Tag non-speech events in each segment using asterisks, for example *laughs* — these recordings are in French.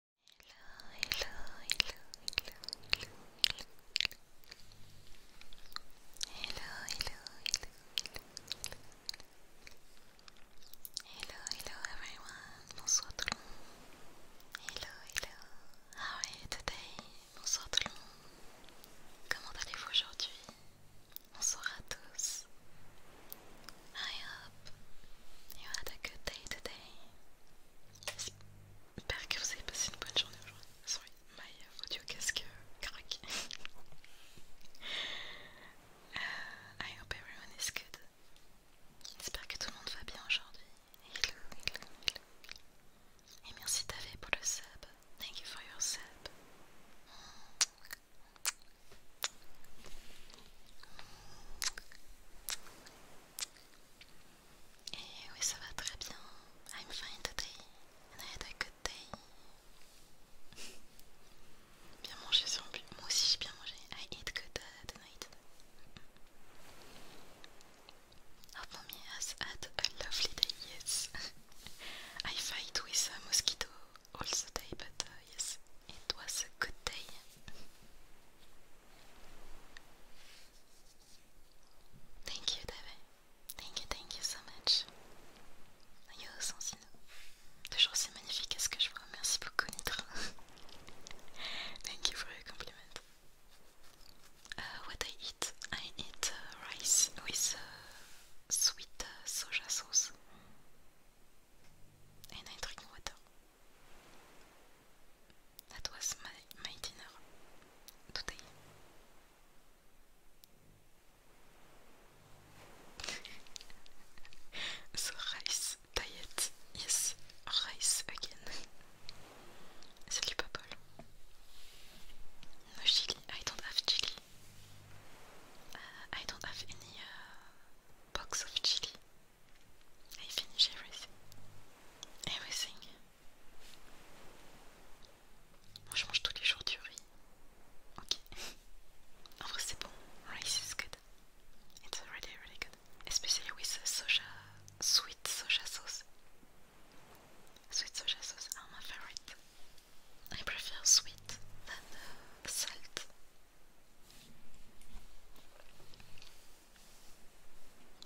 hello, hello, hello, hello, hello, hello, hello, hello, hello, everyone, bonsoir tout le monde, hello, hello, how are you today, bonsoir tout le monde, comment allez-vous aujourd'hui, bonsoir à tous, I hope you had a good day today. J'espère que vous avez passé une bonne journée aujourd'hui. Sorry, my audio casque euh, craque. *laughs* Euh, I hope everyone is good. J'espère que tout le monde va bien aujourd'hui. Hello, hello, hello. Et merci David pour le sub. Thank you for your sub. Et eh oui, ça va très bien. I'm fine today and I had a good day. bien manger sur but. Moi aussi j'ai bien mangé. I ate good uh, tonight. Our mommy has had a lovely day, yes. *laughs* I fight with a mosquito all the day, but uh, yes, It was a good day Thank you, David. Thank you, thank you so much. Yo, oh, Sansino. Toujours c'est magnifique, ce que je vois, merci beaucoup, Nitra? *laughs* thank you for your compliment. Uh, what I eat? I eat uh, rice with uh, sweet uh, soja sauce and I drink water. That was my, my dinner today. rice diet, yes, rice again. Salut Popol. No chili, I don't have chili. Uh, I don't have any uh, box of chili. I finish tout. Everything. Moi je mange tous les jours du riz. Ok. en vrai c'est bon. Rice is good. It's really really good. Especially with soja, sweet soja sauce. Sweet soja sauce are my favorite. I prefer sweet than uh, salt.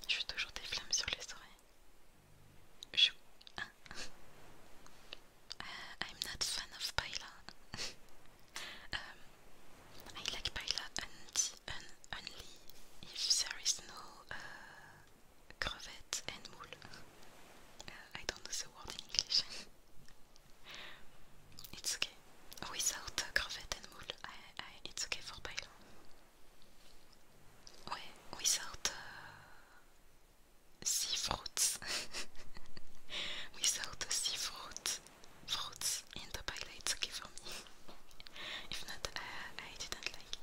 Je suis toujours des flammes sur les oreilles. Je... Je ah. euh, I'm not fan of Paila. *laughs* um, I like Paila un, only if a is no crevettes uh, crevette and moules. Je uh, I don't know the word in English. *laughs* it's without oh, cravat and wool, I, I, it's okay for pylon. Ouais, without uh, sea fruits. *laughs* without the sea fruit, fruits in the pile, it's okay for me. if not, uh, I didn't like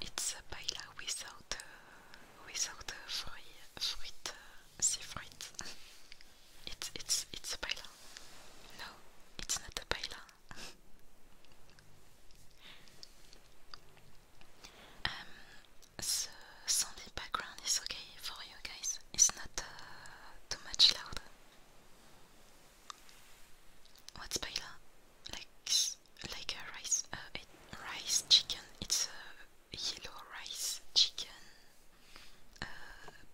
it's a paella without uh, without uh, free, fruit, uh, *laughs* it's it's it's a paella. No, it's not a paella. *laughs* um, so sound background is okay for you guys. It's not uh, too much loud. What's paella? Like like a rice uh, rice chicken. It's a yellow rice chicken. Uh,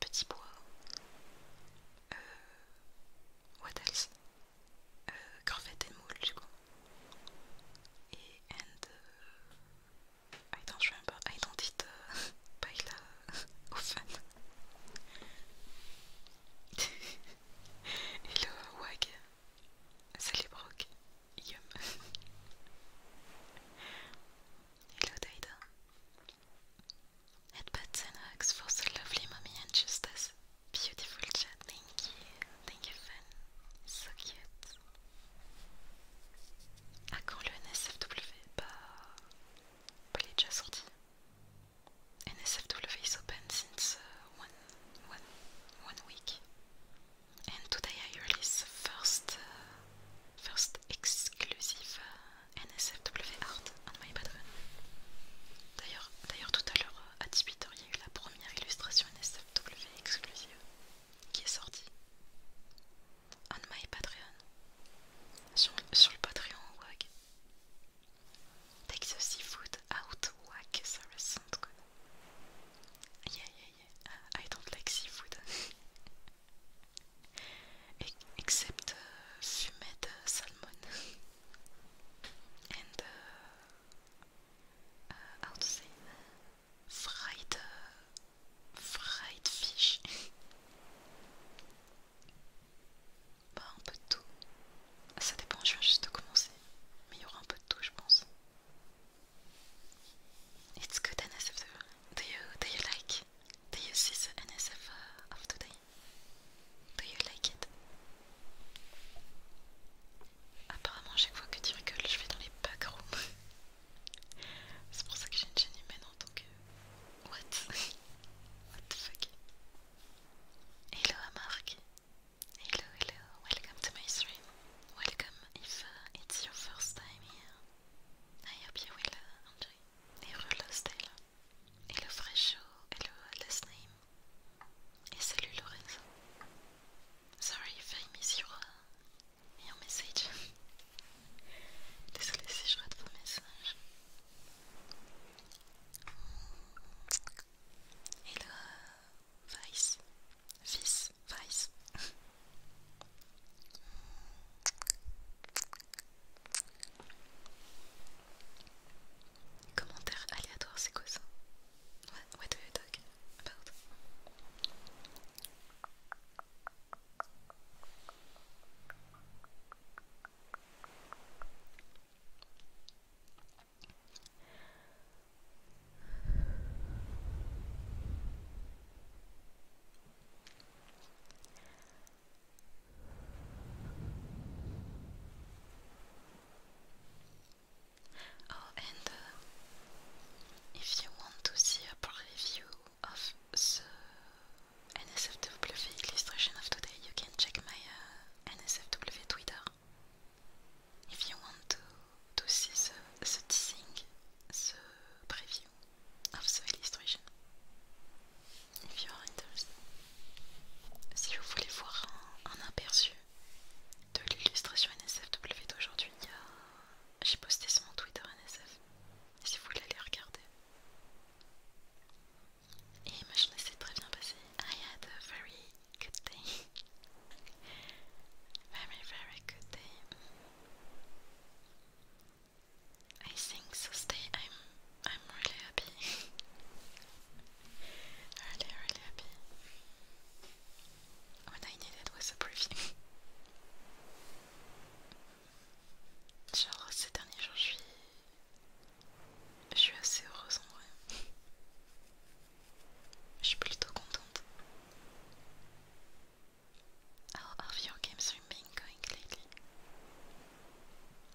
petit pois. what else? Uh, and moule, I don't remember, I don't eat uh, paella often. Et le wag, c'est les brocs. Yum. *laughs* Hello Daida. Headbutts and hugs for the lovely mommy and justice. Beautiful chat, thank you. Thank you, fan. So cute. Ah quand le NSFW Bah. pas déjà sorti. NSFW is open since uh, one, one, one week. And today I release first, uh, first exclusive uh, NSFW art on my patron D'ailleurs, d'ailleurs tout à l'heure à 18h, il y a eu la première illustration NSFW exclusive qui est sorti on my Patreon sur, sur le Patreon WAG. Take the seafood out WAG, ça ressemble quoi Yeah, yeah, yeah. I don't like seafood. E, except euh, fumée de euh, salmon and uh, fried, euh, fried fish. bah, un peu de tout. Ça dépend, je viens juste de commencer. Mais il y aura un peu de tout, je pense. It's good NSF. Do you, do you like? Do you see the NSF uh, of today? Do you like it? Apparemment, chaque fois que tu rigoles, je vais dans les backrooms. C'est pour ça que j'ai une chaîne humaine en tant que... What *laughs* the fuck Hello à Hello, hello, welcome to my stream Welcome if it's your first time here I hope you will uh, enjoy Hello Lostella hello hello uh, last name Et salut Lorenzo Sorry if I miss your, uh, et un message. Désolée si je rate vos messages. Et le Vice, Vice, Vice. Commentaire aléatoire, c'est quoi ça? Ouais, what do you talk about? Oh, and uh, if you want to see a preview of the NSFW illustration of today, you can check my uh, NSFW Twitter if you want to, to see the, the teasing, the preview of the illustration. If you are interested. Si vous voulez voir un, aperçu de l'illustration NSFW d'aujourd'hui, euh, j'ai posté sur mon Twitter NSF si vous voulez aller regarder. Et ma journée s'est très bien passée. I had a very good day. *laughs* very, very good day. I think this day I'm I'm really happy. *laughs* really, really happy. What I needed was a briefing. *laughs* Genre ces derniers jours je suis... Je suis assez heureuse en vrai. Je suis plutôt contente. How have your games been going lately?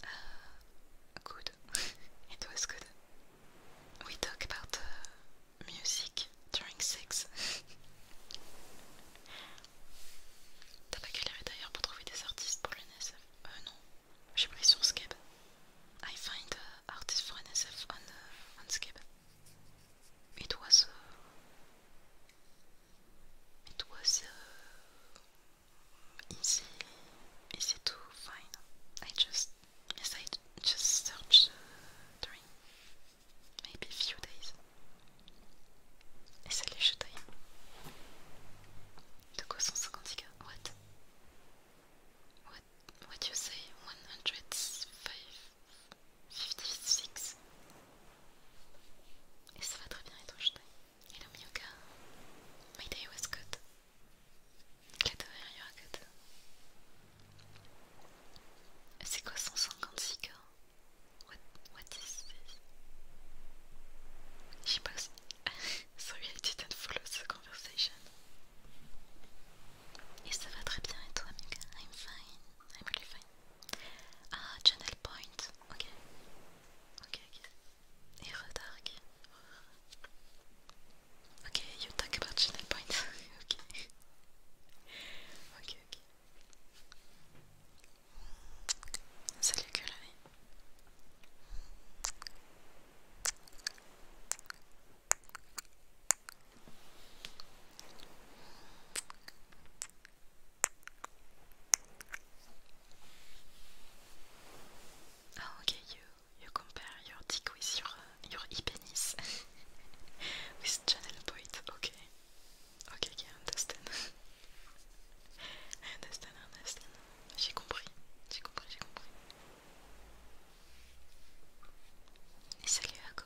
Uh, good. *laughs* It was good. We talk about uh, music during sex. *laughs* T'as pas galéré d'ailleurs pour trouver des artistes pour le NSF Euh non, j'ai pris sur Skeb. I find uh, artists for NSF on, Skype C'était... C'était... It was... Uh, it was... Uh, easy... easy to find. I just... yes I just uh, during maybe few days. Et ça les taille. De quoi 150k? What? What? What you say? 156? Et ça va très bien être jeté. Hello mioka My day was good. Glad you are good. C'est quoi 156k? Qu'est-ce What, what is this? She posed. *laughs* Sorry, I didn't follow la conversation. Et ça va très bien, et toi, Mika? I'm fine. suis vraiment fine. Ah, Channel Point. Ok. Ok, ok. Et Redark. Ok, you parles de Channel Point. *laughs* ok. Ok. Cookie. Ah, okay, you you compare your dick with your your penis *laughs* with channel point, okay. Ok, ok, un understand. *laughs* Un understand, un understand. J'ai compris, j'ai compris, j'ai compris. Et salut Ako.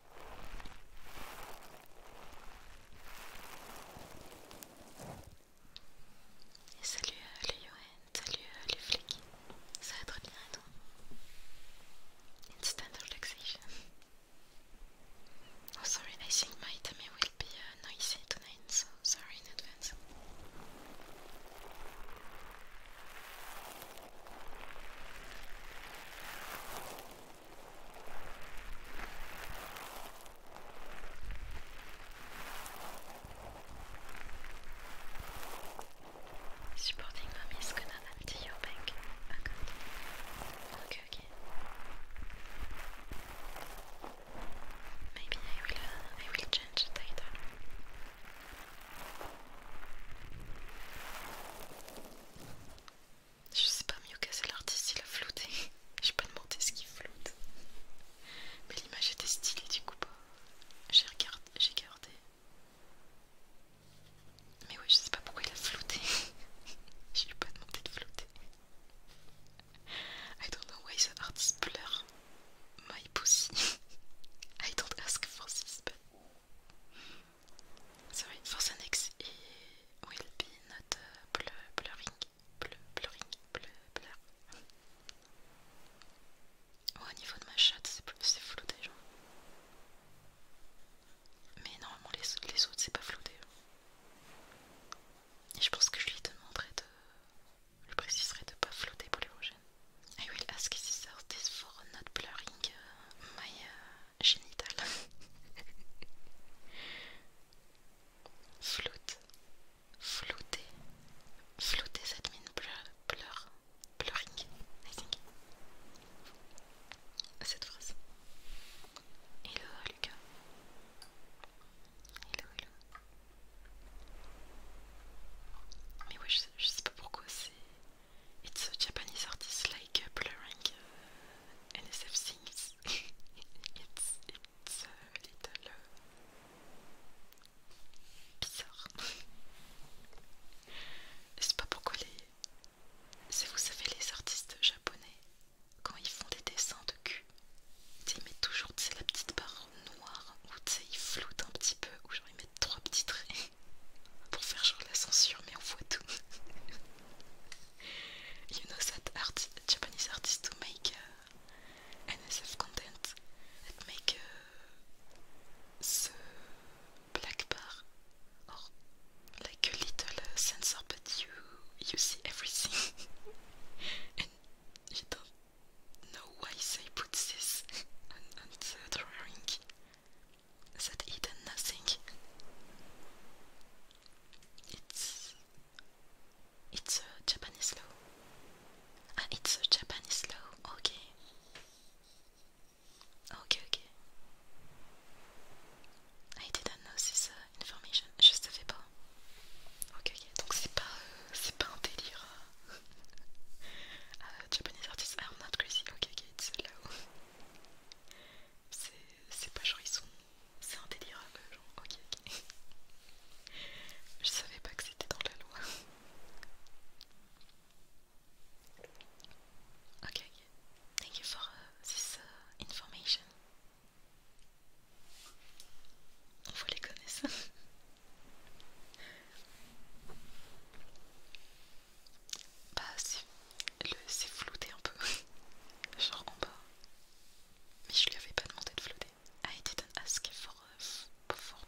Et salut Yoen, salut euh, les euh, ça va très bien et toi Instant relaxation. Oh sorry, I think my tummy will be uh, noisy tonight, so sorry in advance. Supporting mom is gonna empty Okay, okay. Maybe I will, uh, I will change the Je sais pas, mieux c'est l'artiste il a flouté. *laughs* J'ai pas demandé ce qu'il floute. Mais l'image était stylée du coup. J'ai gardé. Mais ouais je sais pas pourquoi il a flouté. je lui ai pas demandé de flouter. I don't know why the artist blur my pussy. *laughs* I don't ask for this, c'est vrai, Force Annex et Will Be Not euh, blurring. Blurring. Bleu, blurring, bleu, blur. au niveau de ma chatte, c'est flouté genre Mais normalement, les, les autres, c'est pas flouté Et je pense que je lui demanderai de. Je préciserai de pas flouter pour les prochaines. I will ask if these this for not blurring euh, my euh, Génital Floute, flouter, flouter cette mine pleure, pleure, pleuring, Cette phrase. Hello Lucas. Hello, hello. Mais ouais, je sais, pas pourquoi c'est. It's a Japanese artist like blurring uh, NSF sings. *laughs* it's it's a euh, little euh, bizarre. C'est sais pas pourquoi les. vous savez, les artistes japonais, quand ils font des dessins de cul, ils mettent toujours la petite barre noire où ils floutent un petit peu, ou genre ils mettent trois petits traits *laughs* pour faire genre la censure, mais on voit tout. *laughs* you know that art, Japanese artists to make uh, NSF content that make uh, the black bar or like a little uh, sensor but you you see everything *laughs* and you don't know why they put this on, the drawing said Eden nothing. It's it's a Japanese law. Ah, it's a Japanese law. Okay. Okay, okay. I didn't know this uh, information. Je savais pas. Okay, ok. Donc c'est pas, euh, c'est pas un délire. *laughs* uh, Japanese artists are not crazy. okay, ok. It's low. *laughs* c'est c'est pas genre C'est un genre ok ok. Je savais pas que c'était dans la loi. Ok, ok. thank you for uh, this uh, information. On vous les connaissances. Bah, c'est flouté un peu. *laughs* Genre en bas. Mais je lui avais pas demandé de flouter. Ah, ah, euh, *laughs* I didn't ask for,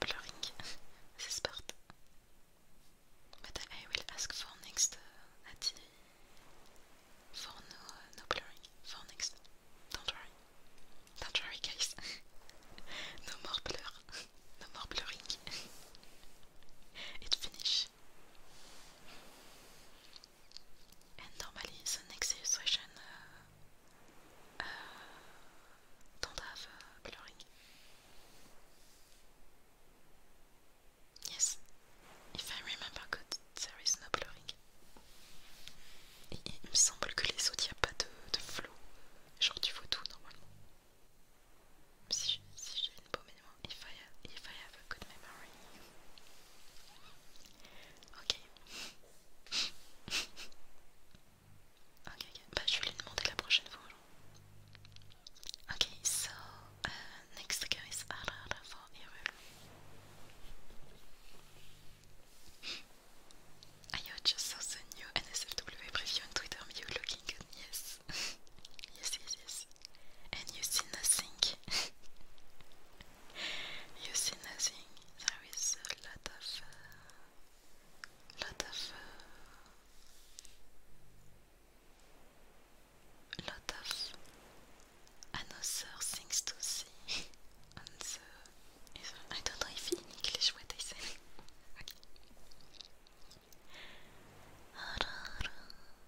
blurring. c'est part. But I will ask for next. Uh, for no, uh, no blurring. For next. Don't worry. Don't worry, guys. *laughs* no more blur. No more blurring. it's finish. And normally the next illustration uh, de coloring. Oui, si je Yes, if I remember good, there is no blurring. Et il me semble que les autres, il n'y a pas de, de Genre, tu vois tout normalement si j'ai une peau mémoire, if I, have, if I Ok. *laughs* ok, ok. Bah, je vais lui demander la prochaine fois. Alors. Ok, donc, la prochaine guy is Arara for Errol. I oh, just saw the new NSFW preview on Twitter. Me you looking good? Yes. *laughs* yes, yes, yes. and you see nothing. *laughs* you see nothing. There is a lot of, uh, lot of, lot of another things to see. *laughs* on the, I don't know if in English what I *laughs*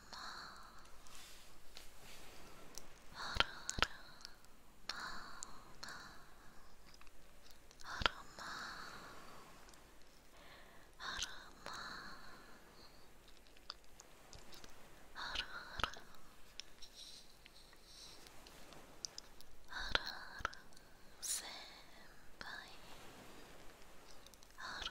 まあらあるまああるまあるまあら。あら。あら。あら。先輩あら。ある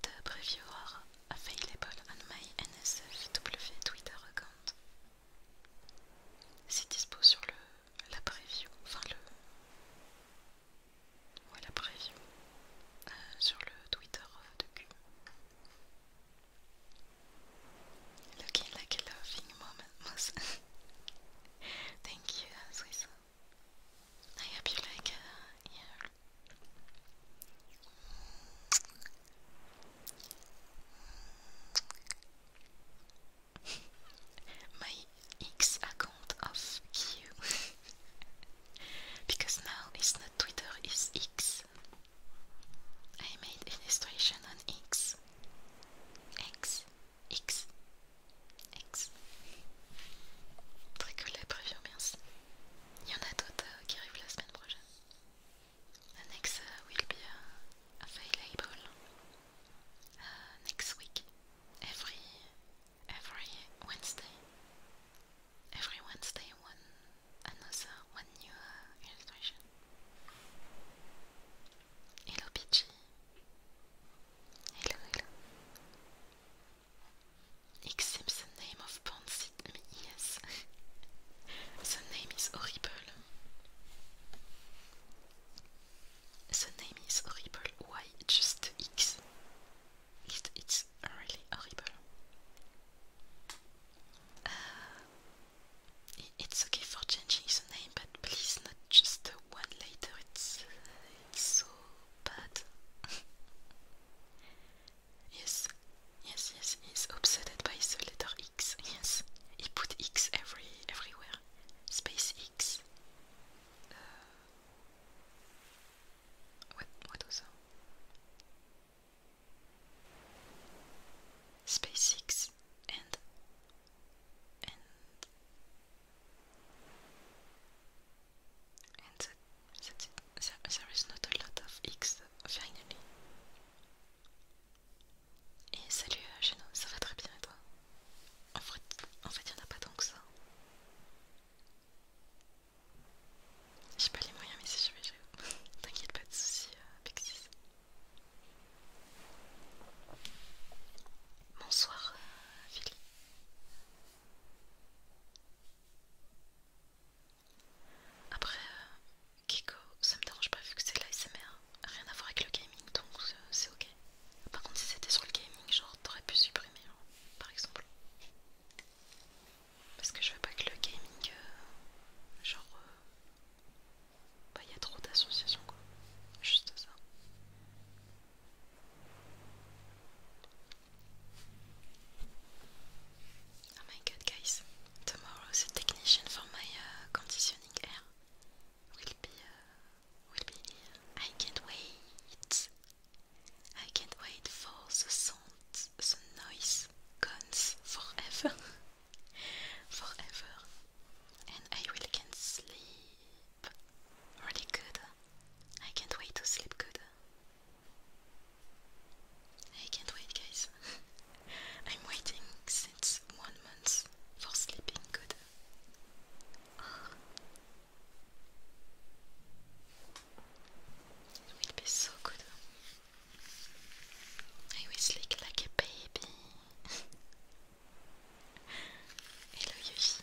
The previewer available on my NSFW Twitter account. C'est dispo sur le la preview, enfin le ouais, la preview euh, sur le Twitter euh, de Q. Looking like a laughing moment. *laughs* Thank you, Swiss. I hope you like uh, My X account of Q *laughs* because now it's not Twitter, it's X. I made illustration on X. X, X, X. Très cool merci. Il y next week, every every Wednesday. Every Wednesday, one another, one new uh, illustration. Hello Peachy. Hello, hello. Except the name of Ponsit. I mean, the name is horrible. The name is horrible. Why just X? it's really horrible. Eh, it's okay for changing the name, but please not just one later. it's so bad. *laughs* Yes, yes, yes, he's obsessed by the letter X. Yes, he put X every everywhere. Space X. Uh, what what that? Space X and Et X Et salut Geno, euh, ça va très bien et toi En fait, il n'y en a pas tant que ça. J'ai pas les moyens, mais si je vais, je... *laughs* t'inquiète pas de soucis, euh, Bonsoir, euh, Philly. Après, euh, Kiko, ça me dérange pas vu que c'est de l'ASMR, rien à voir avec le gaming donc euh, c'est ok. Par contre, si c'était sur le gaming, genre t'aurais pu supprimer, hein, par exemple. Parce que je veux pas que le gaming, euh, genre, il bah y a trop d'associations quoi, juste ça. Oh my god, guys, tomorrow technician for my uh, conditioning air will be, uh, will be I can't wait. I can't wait for the sound, the noise guns forever. *laughs* forever. And I really can sleep really good. I can't wait to sleep good. I can't wait, guys. *laughs* I'm waiting since one month for sleeping good. It will be so good. I will sleep like a baby. *laughs* Hello, Yoshi.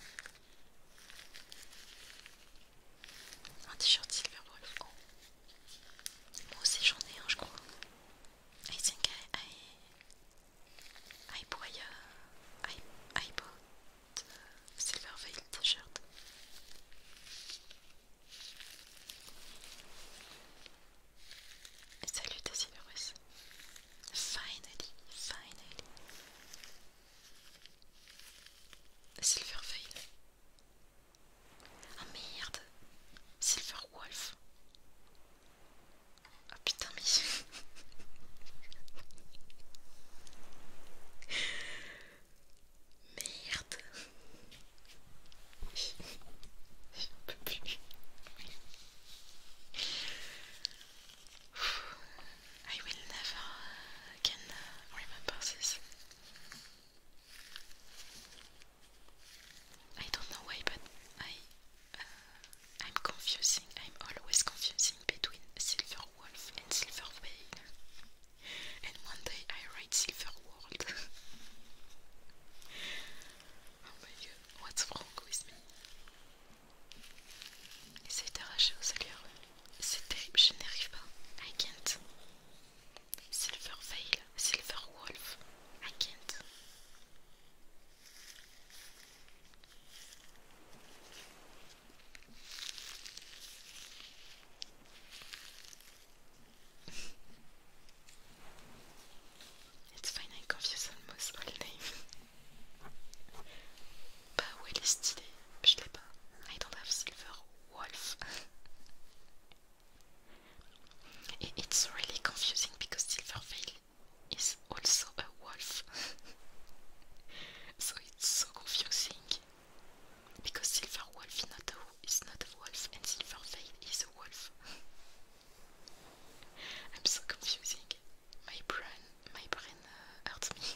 Un t-shirt Silverwolf. Oh. Moi aussi j'en ai un, je crois. I think I. I. I buy a, t-shirt. salut à Silverus. Finally, finally. Veil Ah, merde Silver Wolf Ah putain mais... *laughs* Merde I will never again remember this. I don't know why, but I uh, I'm confusing. I'm always confusing between Silver Wolf and Silver Veil. And one day I write Silver World. *laughs* Oh what's wrong with me? C'est arraché au terrible, I can't. Silver veil, silver wolf. *laughs* It's fine, I confuse almost all names. *laughs* Bah, où est l'idée Je l'ai I don't have silver wolf. *laughs* it's really confusing because Silverveil is also a wolf. *laughs* so it's so confusing. Because Silver Wolf is not a, is not a wolf and Silverveil is a wolf. *laughs* I'm so confusing. My brain, my brain uh, hurts me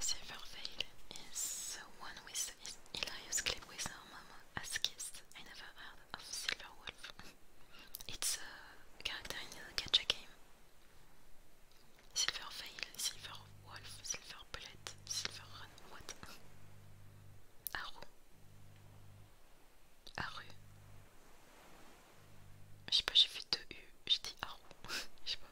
Silverveil is the one with his hilarious clip with her mom as kids. I never heard of Silverwolf. it's a character in the gacha game. Silverveil, Silverwolf, Silver Bullet, Silver Run, what? Haru. Je sais pas, j'ai fait deux U, j'ai dit Haru. *laughs* Je sais pas.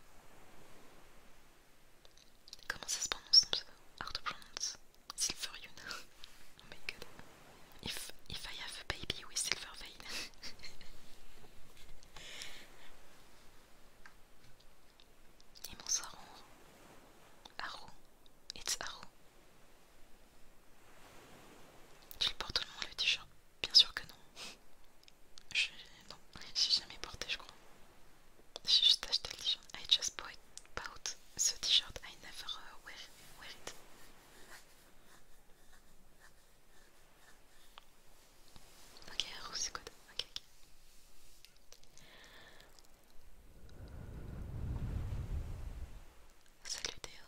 Comment ça se prononce ton pseudo Hard to pronounce. Silver Yuna. *laughs* oh my god. If, I have a baby with silver vein. *laughs* Et mon saron. Haru. It's Haru. Tu le portes tout le monde le t-shirt. Bien sûr que non. Je... Non, j'ai jamais porté, je crois. J'ai juste acheté le t-shirt. I just bought this t-shirt. I never euh, wear, wear it. Ok, rouge c'est good. Ok, Salut Theo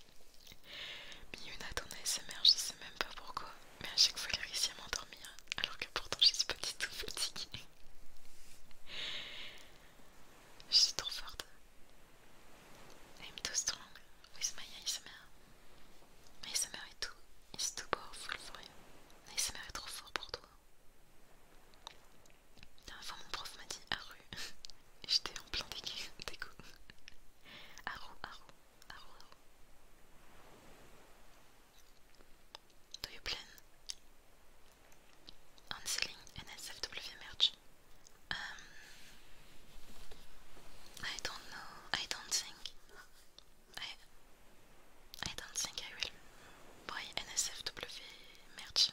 Mais à ton ASMR, je sais même pas pourquoi, mais à chaque fois qu'elle réussit à m'endormir, alors que pourtant je suis pas du tout fatiguée. je suis trop forte. I'm too strong with my ASMR. My ASMR est too, is too powerful for you. ASMR est trop fort pour toi. fois, mon prof m'a dit, J'étais en plein déco. Arrow, Aro, Aro, Aro Do you plan on selling NSFW merch? Um, I don't know. I don't think. I don't think I will buy NSFW merch.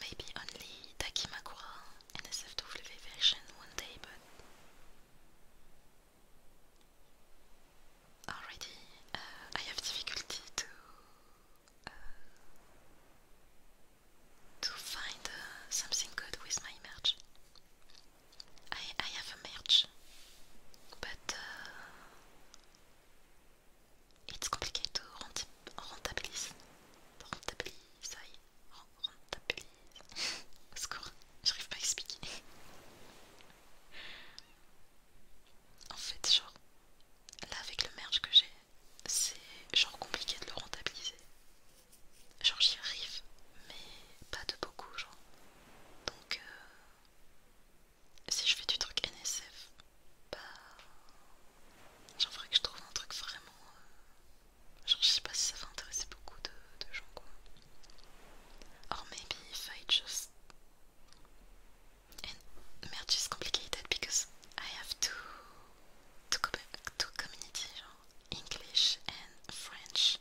Maybe only Takimakura Uh, I have difficulty to uh, find uh, something good with my merch. I have merch, but. it's complicated to rentabilize, rentabilize Rentabiliser Au secours, j'arrive pas à expliquer. En fait, genre, là avec le merge que j'ai, c'est genre compliqué de le rentabiliser. Genre, j'y arrive, mais pas de beaucoup, genre. Donc, si je fais du truc NSF, bah Genre, faudrait que je trouve un truc vraiment. Je euh, Genre, je sais pas si ça va intéresser beaucoup de, gens quoi. Or maybe if I just. And merch is complicated because I have to. to, com to community, genre, English and French.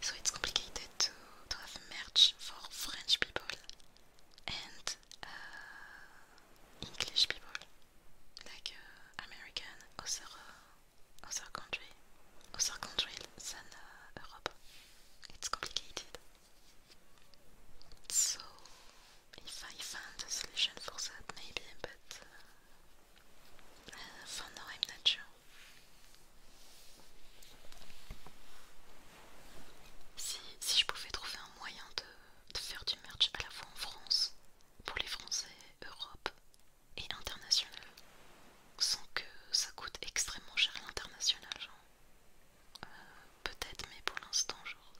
So it's complicated to, to have merch for French people and. Uh, English people, like comme au sur, d'autres sur country, sur country l'Europe c'est uh, Europe. It's complicated. So, if I find a solution for that, maybe, but mais uh, enfin uh, for now I'm not sure. Si, si je pouvais trouver un moyen de, de faire du merch à la fois en France pour les Français, Europe et international, sans que ça coûte extrêmement cher l'international, genre. Euh, peut-être, mais pour l'instant, genre,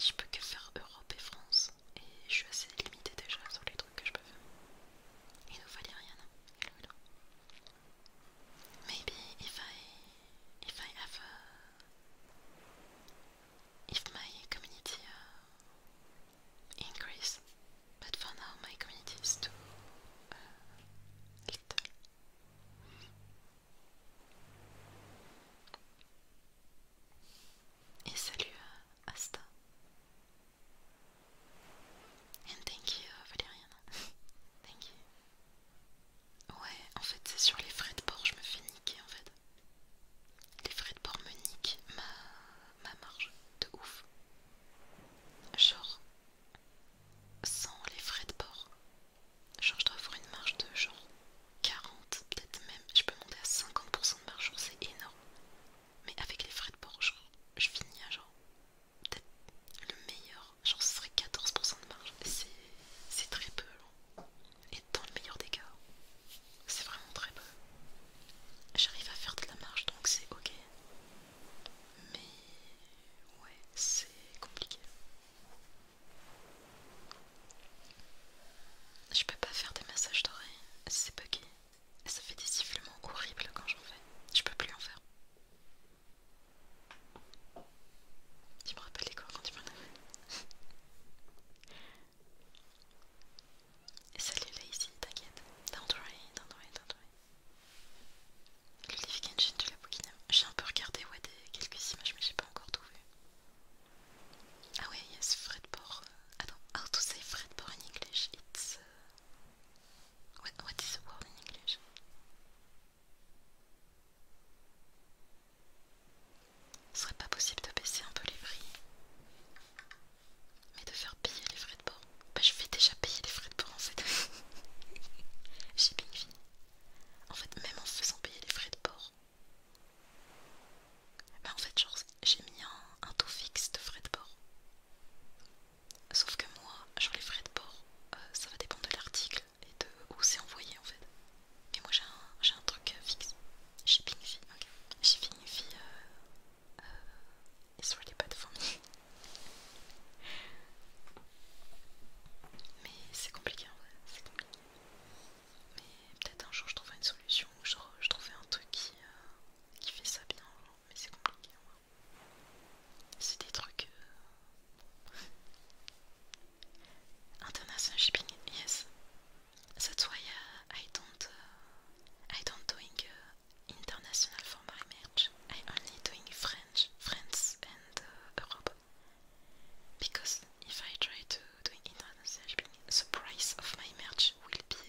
je peux que faire Europe et France, et je suis assez limitée déjà sur les trucs que je peux faire. Il ne hein. hello rien Maybe if I if I have if my community uh, increase. But for now, my community is too uh, little. Et salut à uh, Asta. And thank you uh, Valériane. *laughs* thank you. Ouais, en fait c'est sur les frais de port, je me fais niquer en fait les frais de port me ma, marge de ouf. Genre, sans les frais de port, genre je dois avoir une marge de genre 40, peut-être même, je peux monter à 50% de marge, c'est énorme. Mais avec les frais de port, je finis à genre, peut-être le meilleur, genre ce serait 14% de marge, c'est très peu. Et dans le meilleur des cas, c'est vraiment très bon. J'arrive à faire de la marche donc c'est ok. Mais ouais, c'est compliqué. Je peux pas faire des massages d'oreilles, c'est bugué. Ça fait des sifflements horribles quand j'en fais. Je peux plus en faire. Tu me rappelles les cours quand tu m'en avais Salut là ici, t'inquiète. Don't worry, don't worry, don't worry. Le livre Engine de la Bouquinam. J'ai un peu regardé quelques images, mais j'ai pas encore tout vu. Ah oui, yes, euh, ah Attends, how to say Fredport in English? It's. Uh... what is the word in English? Ce serait pas possible de baisser un peu les prix. Mais de faire payer les frais de port. Bah je vais déjà payer les frais de port en fait. *laughs* J'ai bien fini. En fait même en faisant payer les frais de port. Bah en fait j'ai mis un, taux fixe de frais de port. Sauf que moi, genre les frais de port, euh, ça va dépendre de l'article et de où c'est envoyé en fait. Et moi j'ai un, un truc euh, fixe. Shipping fee, ok. Shipping fee, euh, euh et sur les bad for me. Mais c'est compliqué en vrai, c'est compliqué. Mais peut-être un jour je trouverai une solution, ou je, trouverai un truc qui, euh, qui fait ça bien, mais c'est compliqué en vrai. C'est des trucs. international shipping yes that's why uh, I don't uh, I don't doing uh, international for my marriage I only doing French France and Europe because if I try to do international shipping the price of my marriage will be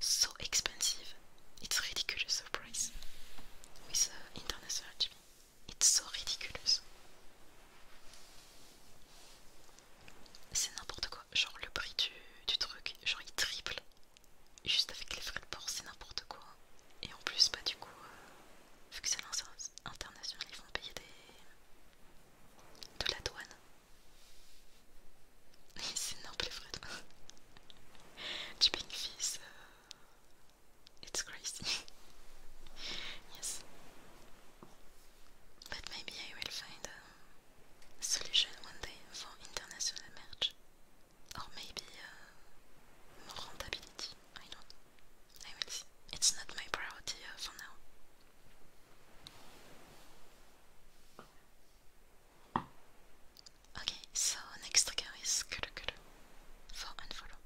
so expensive it's ridiculous the price with international shipping it's so ridiculous C'est n'importe quoi, genre le prix du, du truc, genre il triple, juste avec les frais de port, c'est n'importe quoi. Et en plus, bah du coup, euh, vu que c'est international, ils vont payer des... de la douane. *laughs* c'est n'importe les frais de douane. *laughs* du euh, it's crazy. *laughs* yes. But maybe I will find a solution one day for international merge. Or maybe uh, more rentability. I don't I will see. It's not my priority uh, for now. Okay, so next trigger is color color for unfollow.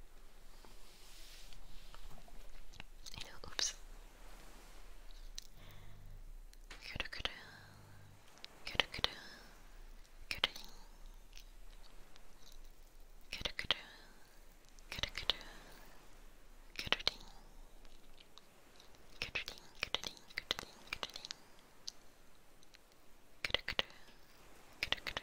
Oops. Good, good, good, good, good, good, good, good, good, good, good, good, good, good, good,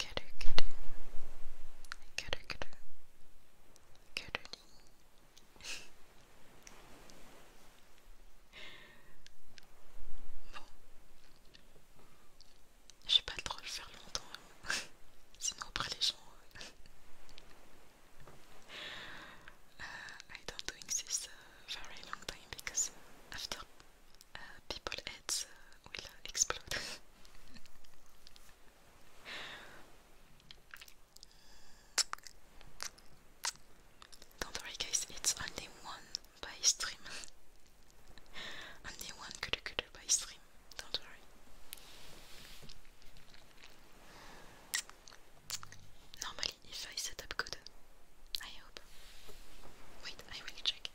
Calu-calu. calu Cadou Bon. Je pas trop le faire longtemps. Hein. *laughs* Sinon les gens... Euh, I don't doing this uh, very long time because after uh, people heads uh, will explode. *laughs* Don't worry guys, it's only one by stream. *laughs* only one cuddle cuddle by stream, don't worry. Normally if I set up good, I hope. Wait, I will check.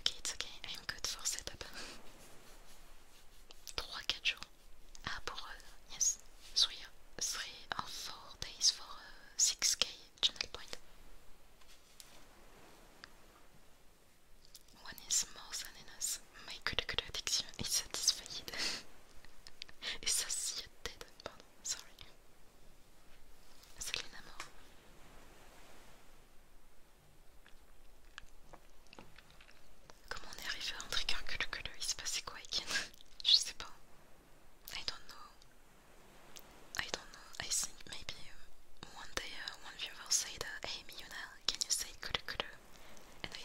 Okay, it's okay, I'm good for setup. 3-4 *laughs* jours. Ah, pour. Uh, yes, 3 or 4 days for uh, 6k channel point. One is more than enough. My culture addiction is satisfied. Is *laughs* ça Dead, pardon, sorry. Selena Moore. Comment on est arrivé à un truc que le que le il se passait quoi Je sais pas. I don't know. I don't know. I think maybe one day uh, one viewer said, uh, Hey Miyuna, can you say kulu And I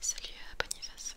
Salut à euh, Boniface.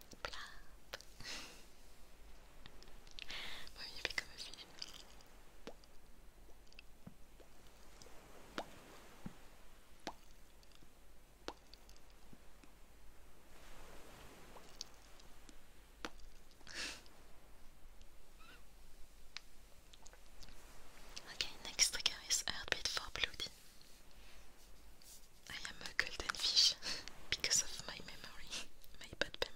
Plop. Vous voyez comme un film. okay, next trigger is Heartbeat for Bloody. I am a golden fish because of my memory, my bad memory.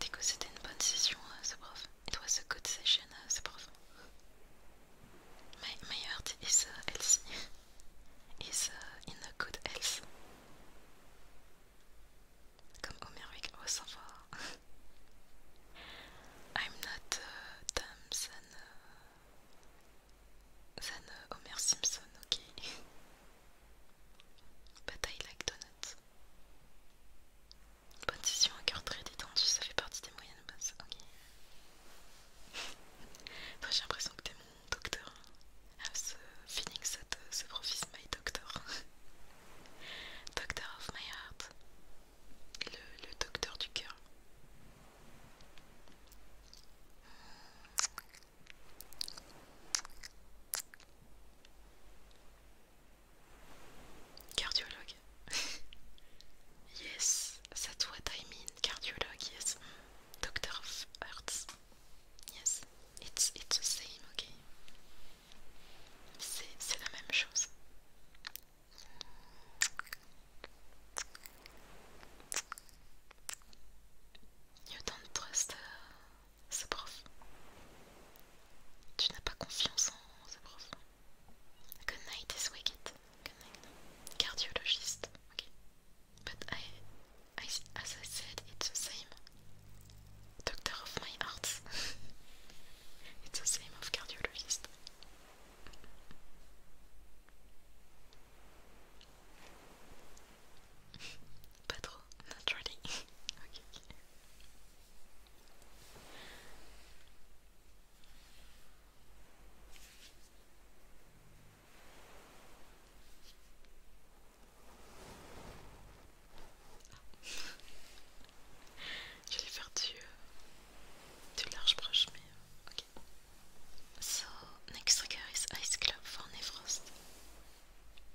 Du coup, c'était une bonne session, euh, ce prof. It was a good session, euh, ce prof. My, my heart is euh, healthy. is in a good health. Comme Homeric, oh ça va. I'm not uh, dumb than, Homer Simpson, ok. Bataille like donut. Position un cœur très détendu, ça fait partie des moyennes basses. Ok. *laughs* j'ai l'impression que t'es mon docteur. I have the feeling that docteur my doctor. *laughs* doctor of my heart. Le, le docteur du cœur. Hmm, Cardiologue. *laughs* yes, that's what I mean. Cardiologue, yes. Docteur of arts Yes, it's, it's the same, Okay. C'est la même chose. You don't trust ce prof. Tu n'as pas confiance en ce prof. Good night is wicked. Good night. Cardiologiste. Okay. But I, I, as I said, it's the same. Doctor of my heart. *laughs* it's the same of cardiologist. Pas trop, not really. *laughs* ok. Ah. Je vais faire du, euh, du large brush, mais euh, ok. So, next trigger is Ice Club for Nefrost.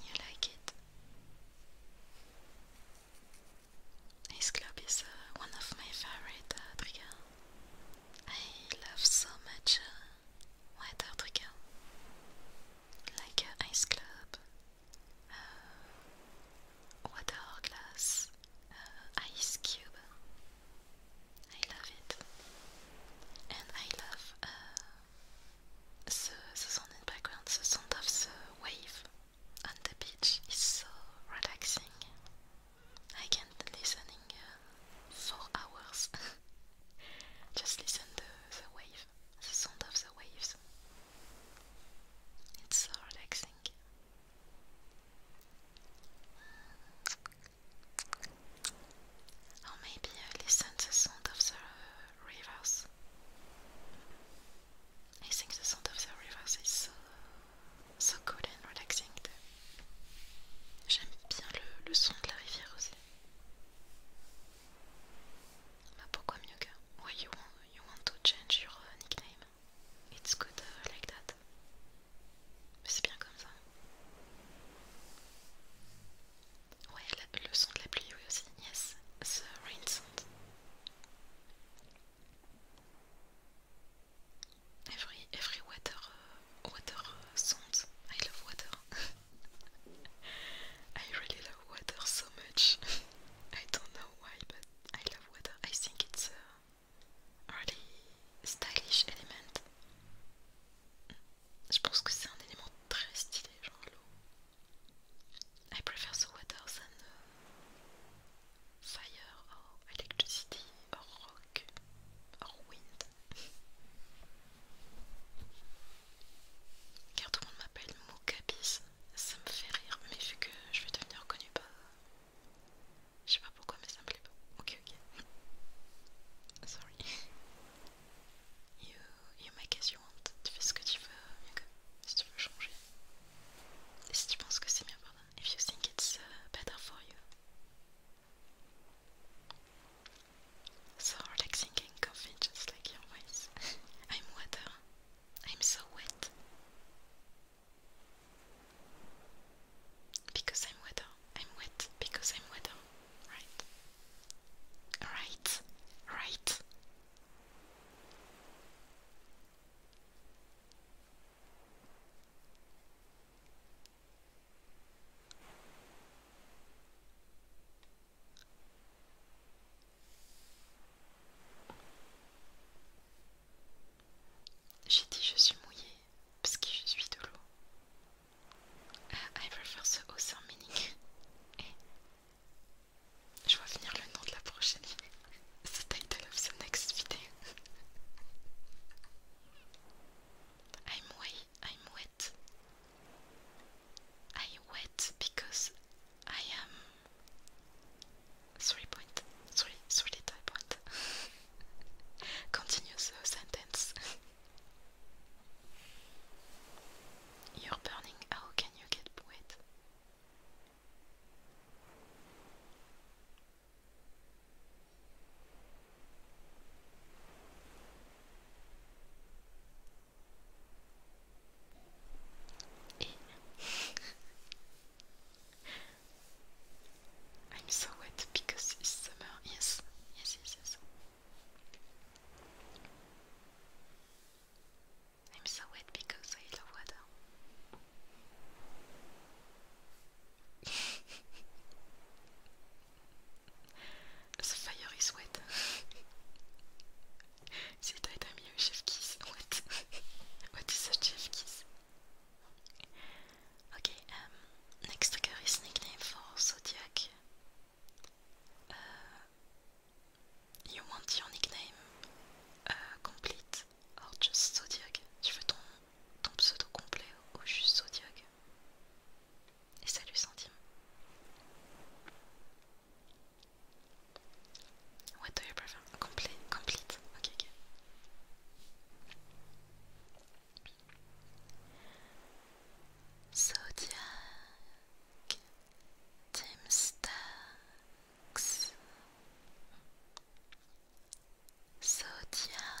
You like it? His club is uh, one of my favorite uh, I love so much uh, what other Like ice club, euh, water glass, euh, ice cube. I love it, and I love euh, the sound in background. The sound of the wave on the beach is so relaxing. I can't listening. Uh, four hours. *laughs* Just listen to the wave, the sound of the waves. It's so relaxing. Or maybe listen to the sound of the rivers. I think the sound of the rivers is so, so cool and relaxing. J'aime bien le, le son de la rivière aussi. But ah, pourquoi mieux que? Why you want you want to change your uh, nickname? It's good uh, like that. C'est bien comme ça. Ouais, la, le son de la pluie oui, aussi. Yes, the rain sound. Every every weather uh, water sounds. I love water. *laughs* I really love water so much. *laughs* I don't know why, but I love water. I think it's a really stylish element. Je pense que c'est un élément très stylé, genre l'eau. I prefer the water than uh, fire or electricity rock or wind. Car tout le monde m'appelle Moukabis, ça me fait rire, mais vu que je vais devenir connue pas... Bah, je sais pas pourquoi, mais ça me plaît pas. Ok, ok. *laughs* Sorry. You, you make as you want. Tu fais ce que tu veux, okay. si tu veux changer. Et si tu penses que c'est mieux, pardon. If you think it's uh, better for you. So relaxing and comfy, just like your voice. *laughs* I'm water. I'm so wet. Because I'm water. I'm wet because I'm water. Right. Right. Right. J'ai dit je suis mouillée parce que je suis de l'eau. I prefer the other meaning. Et je vois venir le nom de la prochaine. the title of the next video. I'm way. I'm wet. I wet because I am three point three three type point. *laughs* Continue the sentence. *laughs* You're burning. How can you get wet? *laughs* I'm so wet because it's summer. Yes, yes, yes, yes. I'm so wet because I love water. *laughs* The fire is wet. C'est tight ami au chef kiss. What? What is a chef kiss? Ok, euh, next trigger is nickname for Zodiac. Euh, you want your nickname euh, complete or just Zodiac? Tu veux ton, ton pseudo complet ou juste Zodiac? Et salut Sandime. What do you prefer? Complet, complete. Ok, ok. Tim Stacks Zodiac,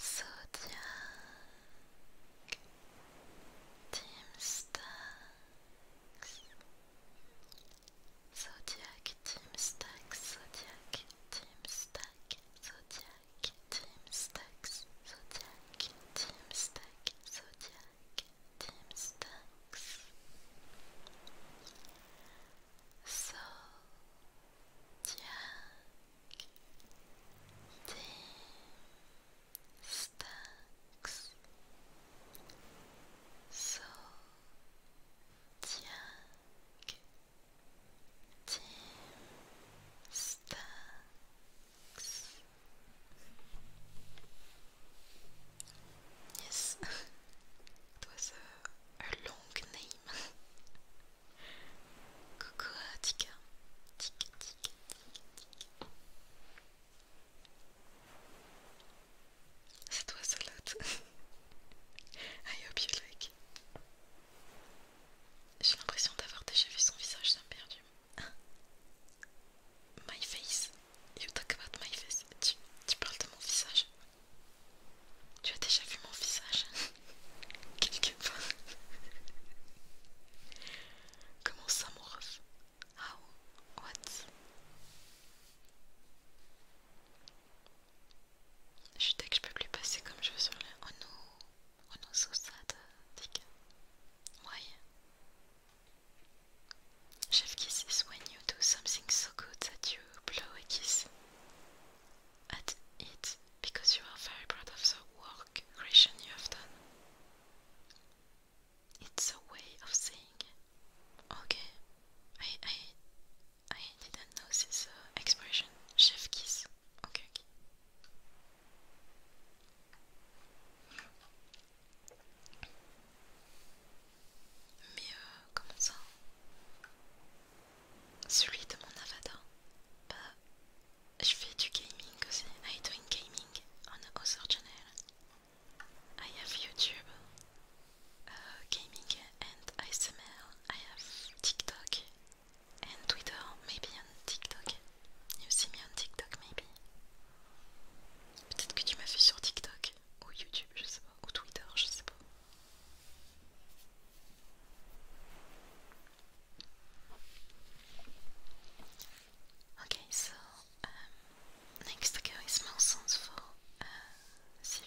Zodiac, Teamstacks, Zodiac, Teamstacks, Zodiac, Teamstack, Zodiac, Teamstacks, Zodiac, Teamstack, Zodiac, Teamstacks. So Jack D. Stacks So Jack D. Stacks Yes, *laughs* it was a long name *laughs* Coucou Tika, Tika, Tika, Tika, Tika. C'est toi Salade. *laughs* I hope you like. J'ai l'impression d'avoir déjà vu son visage, ça me perdu. *laughs* My face, you talk about my face. tu parles de mon visage. Tu as déjà vu mon visage *laughs* Quelque part Comment ça mon ref How ah, What Je suis que je peux plus passer comme je veux sur la... Oh non Oh non, so sad, Dick. Why Chef kiss is when you do something so good that you blow a kiss. at it because you are very proud of the work creation you have done. It's a way of saying, okay, I, I, I didn't know this uh, expression, chef kiss. Okay, okay. Mais comment ça Celui de mon avatar. Bah, je fais du gaming aussi. I doing gaming on a other channel. I have YouTube, uh, gaming and smell. I have TikTok and Twitter. Maybe on TikTok. You see me on TikTok maybe. Peut-être que tu m'as vu sur TikTok ou YouTube, je sais pas, ou Twitter, je sais pas. Okay, so um, next girl is sense for uh, Sylvie.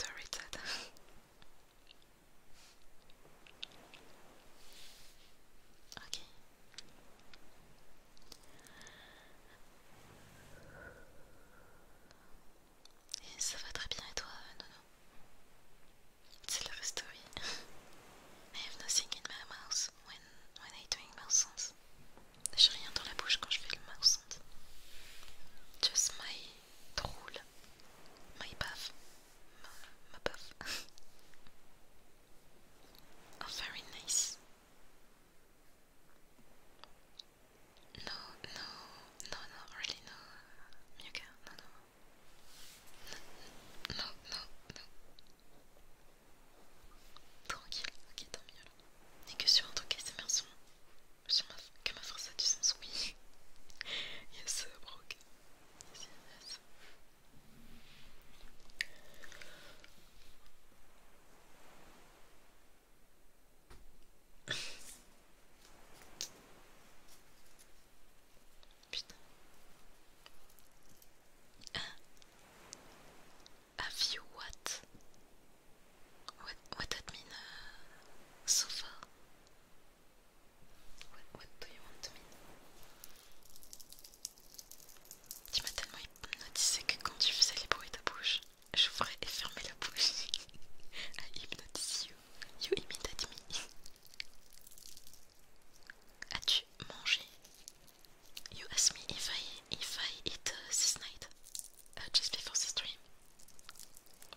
sorry, Ted. okay. Et ça va story. I have nothing in my mouth when when I doing mouse sounds. J'ai rien dans la bouche quand je fais le mouth Just my drool. My baf Ma, ma *laughs* oh, very nice. No, no, no, no, really no. Miuka, no, Non non non non. Tranquille, ok, tant mieux. N'est que sur un truc bien son que ma tu sens. Oui. *laughs* Yes, *laughs* Putain. you what? What what that mean uh, so far? What what do you want to mean? Tu m'as tellement hypnotisé que quand tu faisais les bruits de bouche, j'ouvrais et fermais la bouche. *laughs* I hypnotize you. You imitate me. As-tu mangé? You m'as me if I if I eat uh, this night. Uh, just before the stream.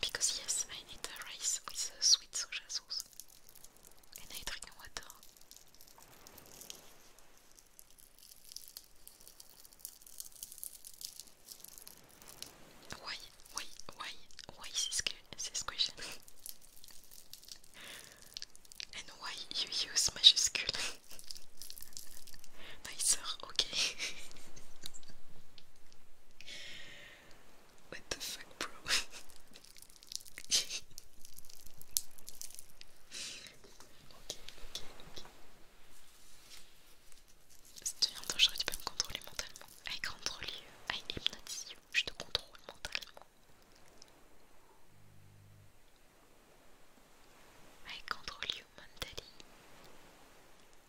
Because yes, I need a rice with a uh, sweet soja sauce. And I drink water. Why, why, why, why this, this question? *laughs* and why you use magic skill? no, Ok. *laughs* What the fuck, bro? *laughs* ok, ok, ok. tu viens j'aurais tu peux me contrôler mentalement. I control you, I hypnotize you. Je te contrôle mentalement. I control you mentally.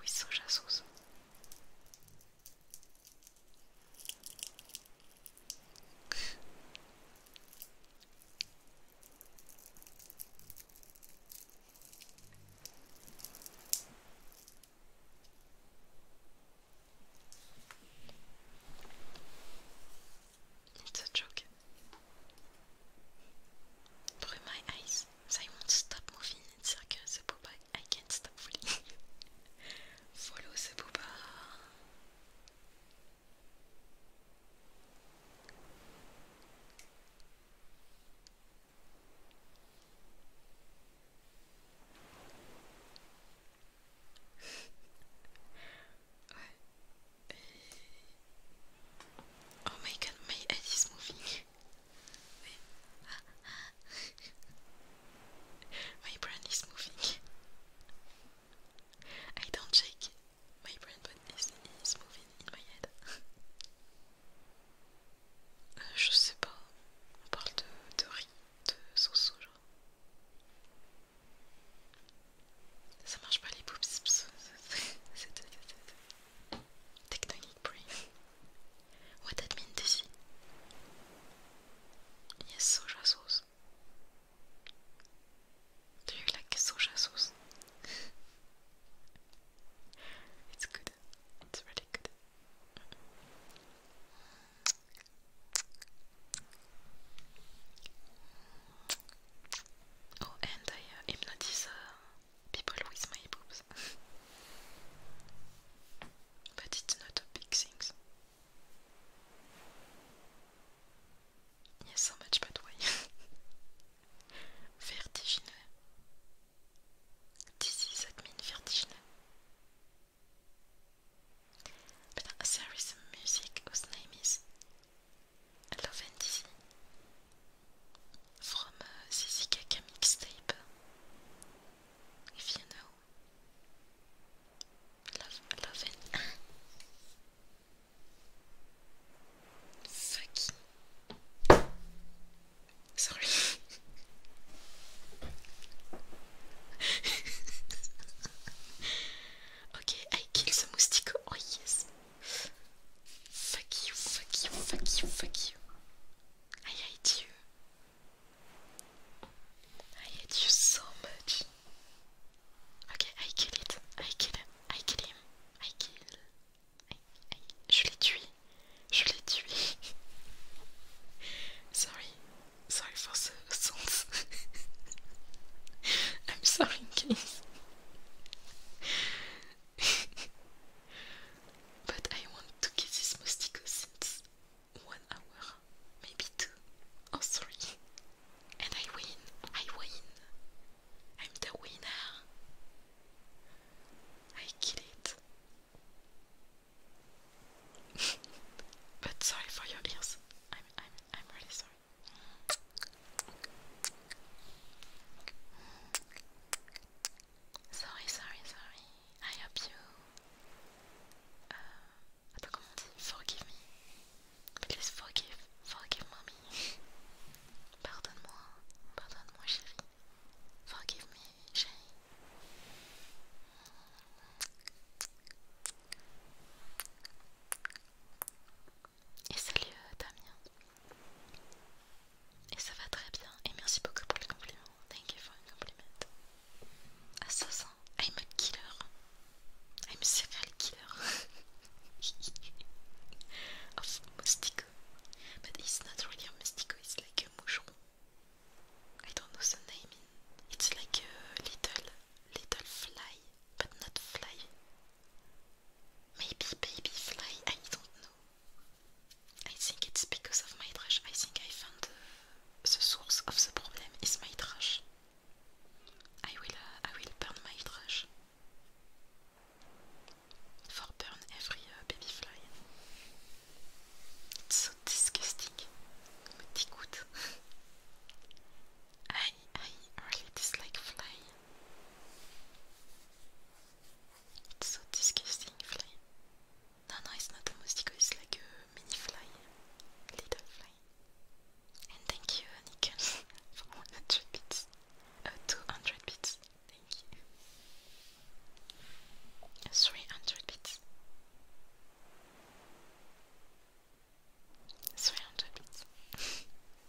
Oui, soja sauce. It's a joke. Brumai Ice. So I won't stop moving in circles about Boba. I can't stop falling. *laughs* Follow the Boba. *laughs* Oh my god, my head is moving. my brain is moving. I don't check my brain, but it's, it's moving in my head. je sais pas. On parle de, de riz, de sauce genre. Ça marche pas les boobs, c'est Tectonic brain. what that mean, Dizzy? Yes, soja sauce. Do you like soja sauce? *laughs* it's good. It's really good. Oh, and I uh, People with my boobs. *laughs* but it's not a big thing. Yes, so much, but why? *laughs* vertigineux. that means vertigineux. But there is music whose name is Hello Vendizi from uh, mixtape. If you know, love, love it. Fucking sorry. *laughs* okay, I killed the moustico. Oh yes. Fuck you, fuck you, fuck you, fuck you. I hate you. I hate you so much. Ok, I kill it. I kill him. I kill him. I kill. I, I, je l'ai tué. Je l'ai tué. *laughs* sorry. Sorry for the sounds. *laughs* I'm sorry, guys. *laughs* but I want to get this mosquito since one hour, maybe two oh, or three, and I win. I win. I'm the winner. I kill it. *laughs* but sorry for your ears. I'm I'm I'm really sorry. Sorry, sorry, sorry. I hope you. Uh, attends, comment on Forgive me. Please forgive. Forgive mommy. Pardonne-moi. Pardonne-moi, chérie. Forgive me, chérie. Et salut euh, Damien. Et ça va très bien. Et merci beaucoup pour le compliment. Thank you for the compliment. Assassin. I'm a killer. I'm a serial killer. *laughs* of Moustico. But it's not really a Moustico, it's like a moucheron. I don't know the name. It's like a little, little fly, but not fly. Maybe fly. I don't know. I think it's because of my trash. I think I found the, source of the problem is my trash. I will, uh, I will burn my trash. For burn every uh, babyfly. It's so disgusting. Me dégoûte. *laughs* I, I really dislike fly. It's so disgusting, fly. No, no, it's not a mosquito, it's like a mini fly. Little fly. And thank you, Nichols, *laughs* for 100 bits. Uh, 200 bits. Thank you. 300 bits. 300 bits. *laughs*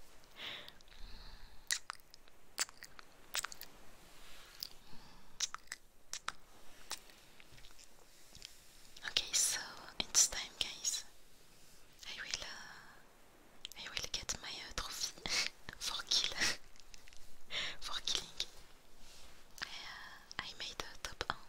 Okay, so it's time, guys. I will, uh, I will get my uh, trophy *laughs* for kill, *laughs* for killing. I, uh, made top one,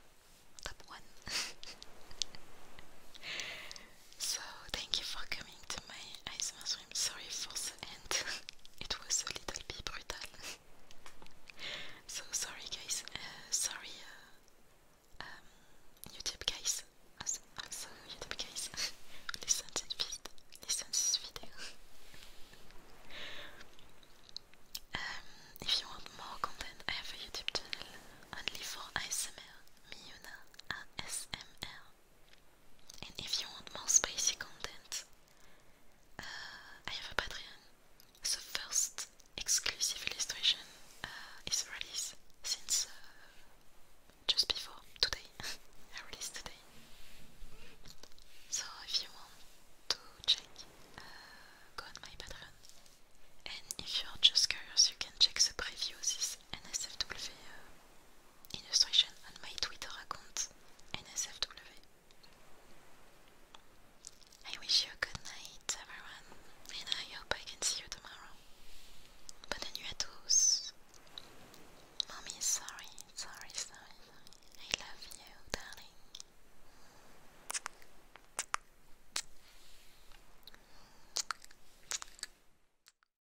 top one. *laughs* So thank you for coming to my ASMR room. Sorry for the end, *laughs* it was a little bit brutal. *laughs* so sorry guys, uh, sorry uh, um, YouTube guys, also, also uh, YouTube guys, *laughs* listen to this, listen this video. Um, if you want more content, I have a YouTube channel only for ASMR, Miuna ASMR. And if you want more spicy content, uh, I have a Patreon. The first exclusive illustration uh, is released since uh, just before today. *laughs* I released today. So if you want to check, go on my Patreon. And if you're just curious, you can check the previews this NSFW illustration on my Twitter account, NSFW. I wish you a good night, everyone, and I hope I can see you tomorrow. Bonne nuit à tous. Mommy, sorry, sorry, sorry, sorry. I love you, darling.